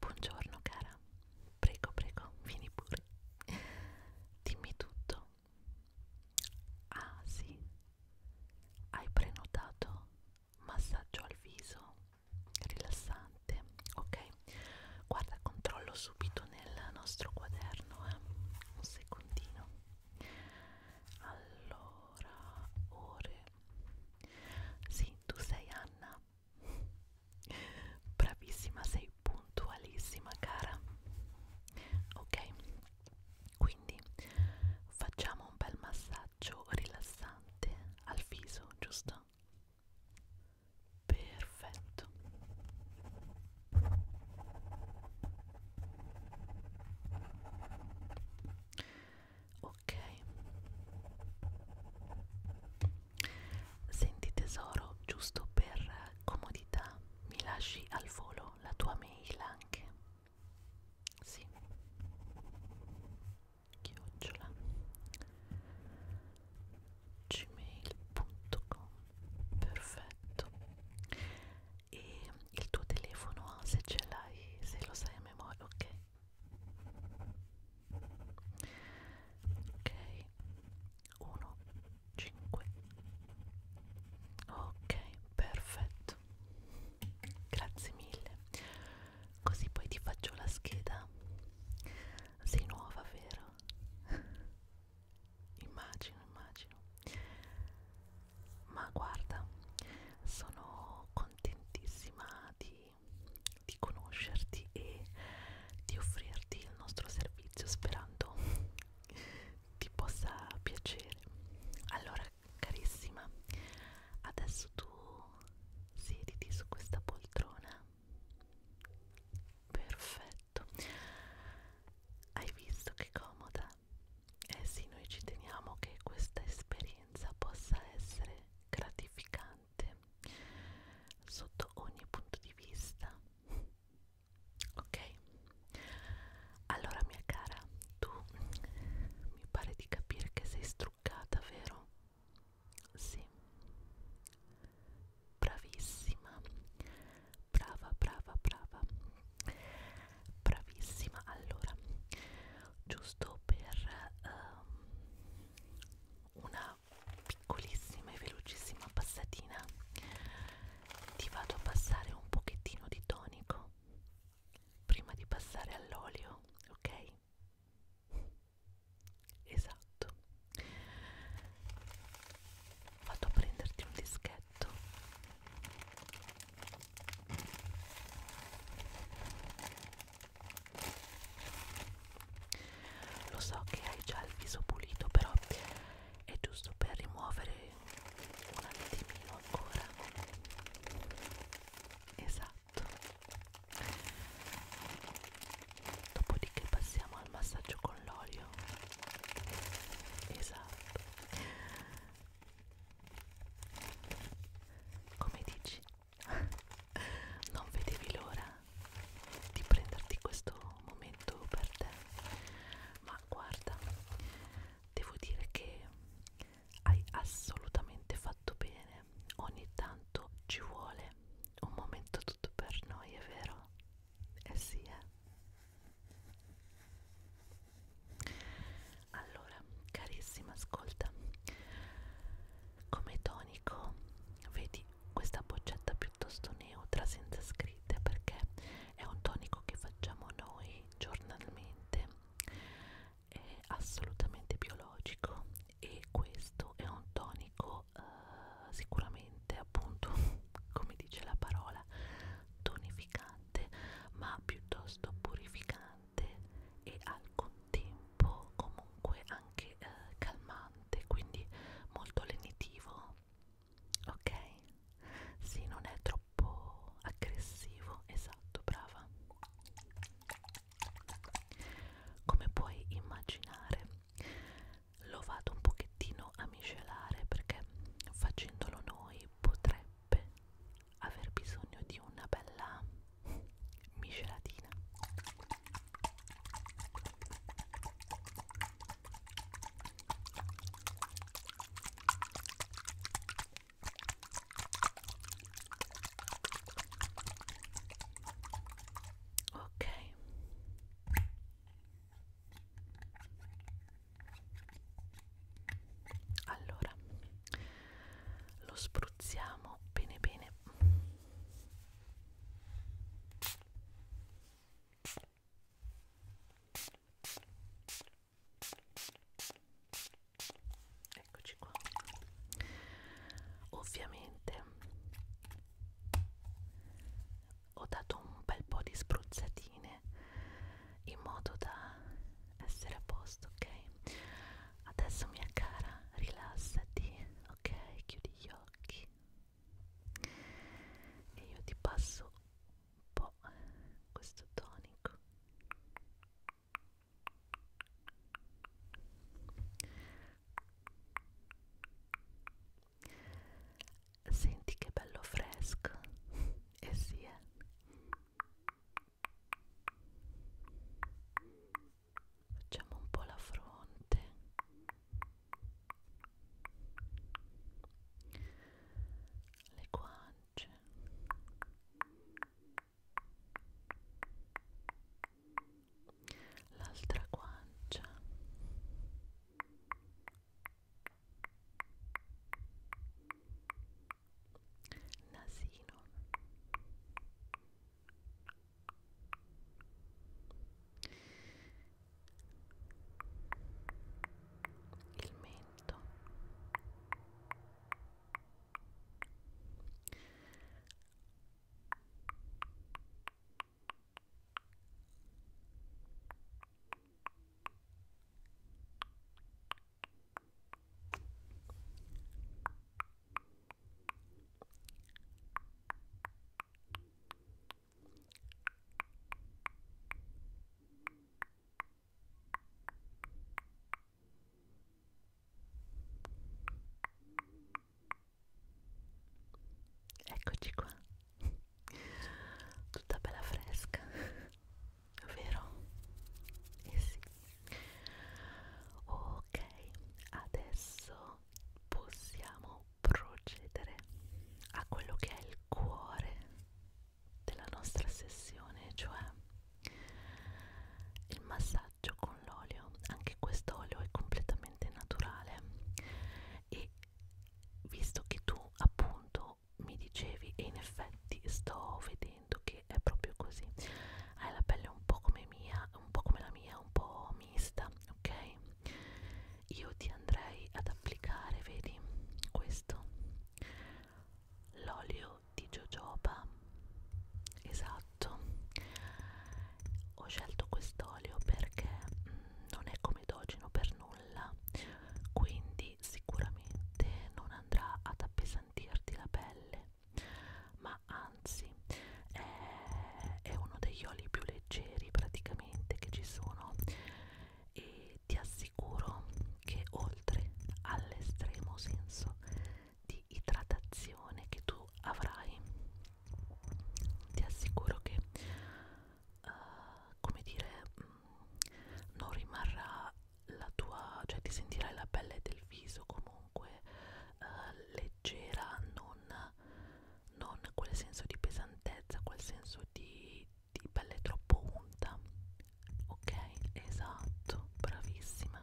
Buongiorno cara, prego prego, vieni pure. Dimmi tutto. Ah sì, hai prenotato massaggio al viso rilassante. Ok, guarda, controllo subito nel nostro quaderno. Eh. Un secondino. Allora, ore sì, tu sei Anna. Bravissima, sei puntualissima, cara. Ok, quindi facciamo un bel massaggio rilassante al viso, giusto? Perfetto ok senti tesoro giusto per comodità mi lasci al volo la tua mail anche sì chiocciola gmail.com perfetto e il tuo telefono se ce l'hai, se lo sai a memoria, ok? Ok, 1, 5, ok, perfetto, grazie mille, così poi ti faccio la scheda, sei nuova vero? immagino, immagino ma guarda sono contentissima di, di conoscerti e di offrirti il nostro servizio sperando ti possa piacere allora carissima adesso tu siediti su questa poltrona perfetto hai visto che comoda eh sì, noi ci teniamo che questa esperienza possa essere gratificante sotto ogni punto di vista. Ok? Allora, mia cara, tu mi pare di capire che sei struccata, vero? Sì. Bravissima. Brava, brava, brava bravissima allora giusto per um, una piccolissima e velocissima passatina ti vado a passare un pochettino di tonico prima di passare all'olio ok esatto vado a prenderti un dischetto lo so che hai già il viso pulito, però è giusto per rimuovere un attimino ancora. Esatto. Dopodiché passiamo al massaggio con l'olio. Esatto. Come dici? non vedevi l'ora di prenderti questo momento per te? Ma guarda, devo dire che hai assolutamente fatto bene. Ogni tanto ci vuole un momento tutto per noi, è vero? Eh sì, eh allora carissima ascolta come tonico vedi questa boccetta piuttosto neutra senza scritte perché è un tonico che facciamo noi giornalmente è assolutamente biologico e questo è un tonico eh, sicuramente appunto come dice la parola tonificante ma piuttosto purificante rilassante e al contempo comunque anche eh, calmante, quindi molto lenitivo, ok? Sì, non è troppo aggressivo, esatto, brava. Come puoi immaginare, lo vado un pochettino a miscelare perché facendolo noi potremmo potrebbe aver bisogno di una bella miscelatina ok allora lo spruzziamo bene bene eccoci qua ovviamente ho dato un bel po' di spruzzatini mattine in modo da essere a posto, ok? Adesso mia cara, rilassati, ok? Chiudi gli occhi e io ti passo un po' questo tonico. Senti che bello fresco e eh sì, eh. Facciamo un po' la fronte. Le guance. L'altra guancia nasino il mento il Eccoci qua, tutta bella fresca vero? Eh sì. Ok, adesso possiamo procedere a quello che è il cuore della nostra sessione, cioè il massaggio con l'olio. Anche questo olio è completamente naturale e visto che tu appunto no, mi dicevi, e in effetti sto vedendo che è proprio così. Hai la pelle un po' come mia, un po' come la mia, un po' mista, ok? Io ti andrei ad applicare, vedi, questo l'olio di jojoba esatto ho scelto quest'olio perché mm, non è comedogeno per nulla quindi sicuramente non andrà ad appesantirti la pelle ma anzi è, è uno degli oli più leggeri praticamente che ci sono e ti assicuro che oltre all'estremo senso di idratazione che tu avrai ti assicuro che uh, come dire mh, non rimarrà la tua, cioè ti sentirai la pelle del viso comunque eh, leggera, non, non quel senso di pesantezza, quel senso di, di pelle troppo unta. Ok, esatto, bravissima.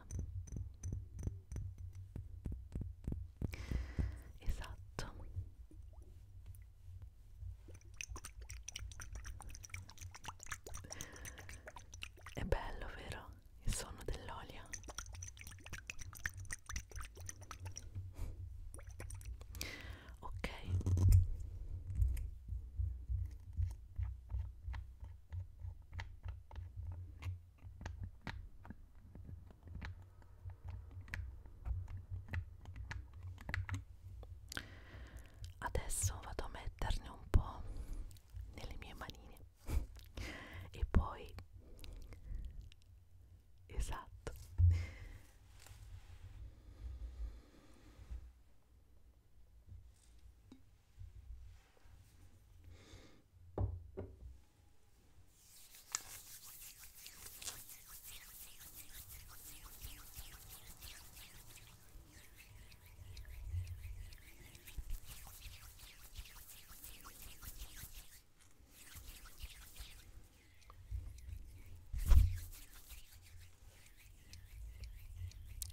Esatto. È bello, vero? Il suono dell'olio. Ok adesso vado a metterne un po' nelle mie manine e poi esatto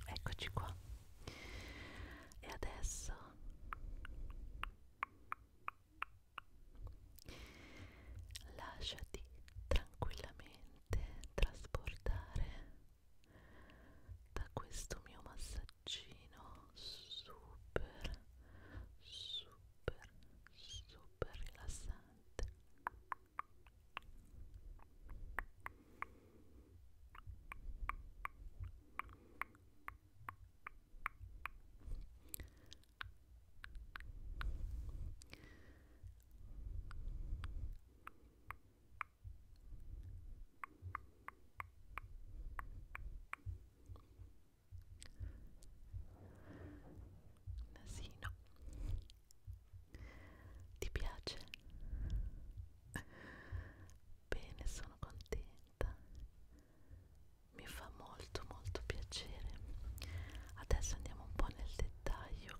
Eccoci qua. E adesso lasciati tranquillamente trasportare da questo mio massaggino super super super rilassante Ora Nasino. Ti piace? Bene, sono contenta. Mi fa molto molto piacere. Adesso andiamo un po' nel dettaglio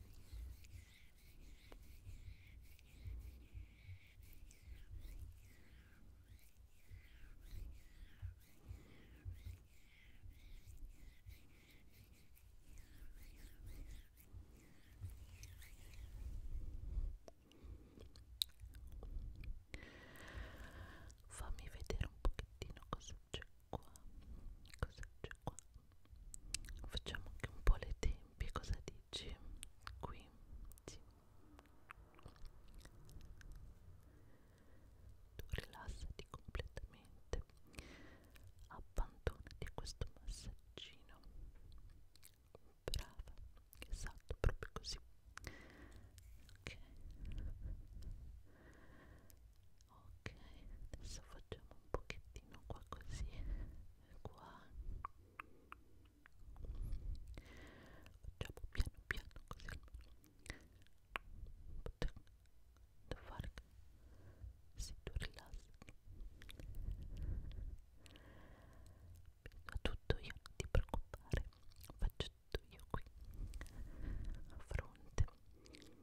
Fammi vedere un pochettino cosa succede cosa c'è qua? Facciamo anche un po' le tempie, cosa dici? Qui, sì. Tu rilassati completamente, abbandonati a questo massaggino. Brava, esatto, proprio così. Ok ok adesso facciamo un pochettino qua così qua facciamo piano piano così da fare se tu rilassi penso tutto io non ti preoccupare faccio tutto io qui a fronte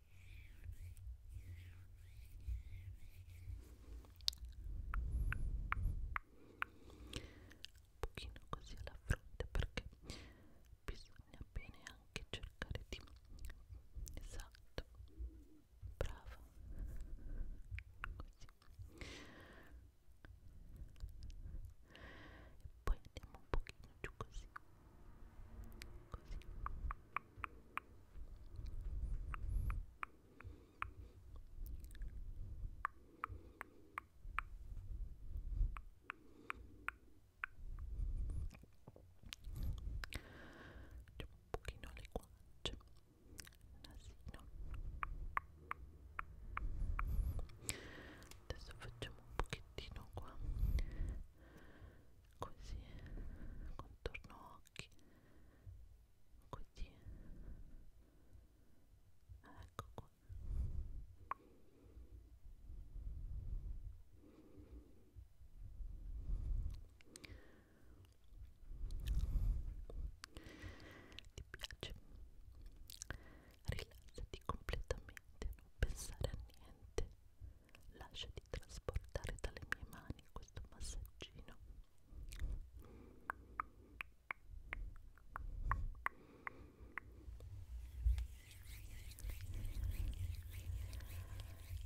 un pochino così alla fronte perché bisogna bene anche cercare di esatto brava così e poi andiamo un pochino giù così così Andiamo un pochino alle guance, nasino. Adesso facciamo un pochettino qua così contorno occhi così ecco qua ti piace? rilassati completamente non pensare a niente lasciati trasportare dalle mie mani questo massaggino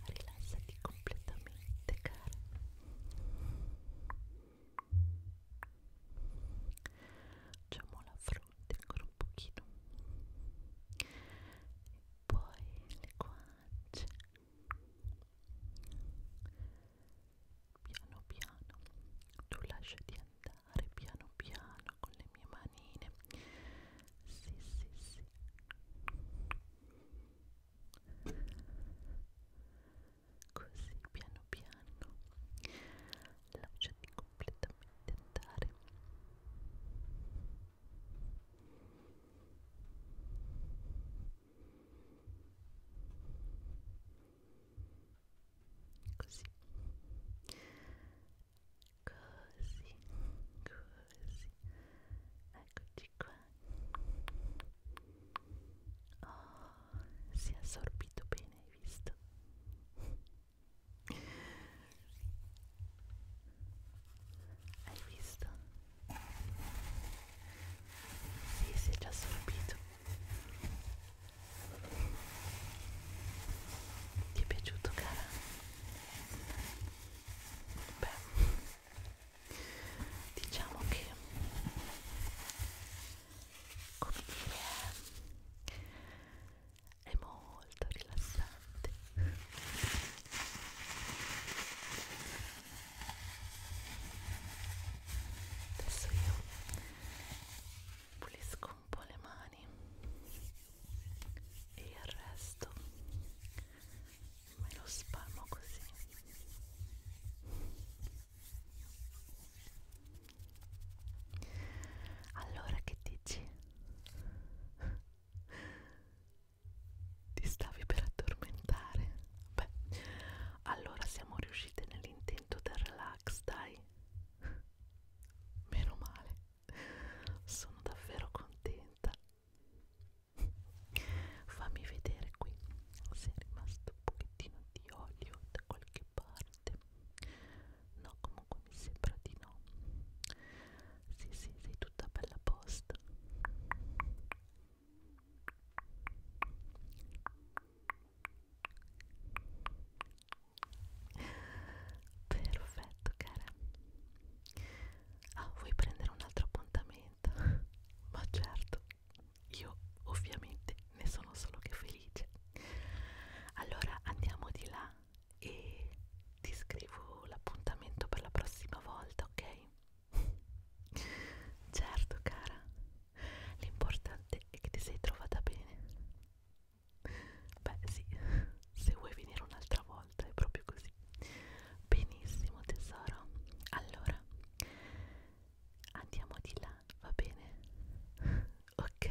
rilassati completamente cara facciamo la fronte ancora un pochino poi le guance piano piano tu lasciati andare piano piano con le mie manine sì sì sì così piano piano lasciati completamente andare così così così eccoci qua oh si è assorbito bene hai visto hai visto? Sì, si è già assorbito. Ti è piaciuto, cara? Beh, diciamo che come dire è molto rilassante adesso io pulisco un po' le mani e il resto me lo spalmo così allora che dici? Ti stavi per addormentare? Beh, allora siamo riuscite nell'intento del relax, dai. Meno male, sono davvero contenta. Fammi vedere qui se è rimasto un pochettino di olio da qualche parte. No, comunque mi sembra di no sì sì sei tutta bella posta perfetto cara ah vuoi prendere un altro appuntamento? ma certo io ovviamente ne sono solo che felice allora andiamo di là e ti scrivo l'appuntamento per la prossima volta, ok? certo, cara, l'importante è che ti sei trovata bene. Beh, sì, se vuoi venire un'altra volta è proprio così. Benissimo, tesoro. Allora, andiamo di là, va bene? ok.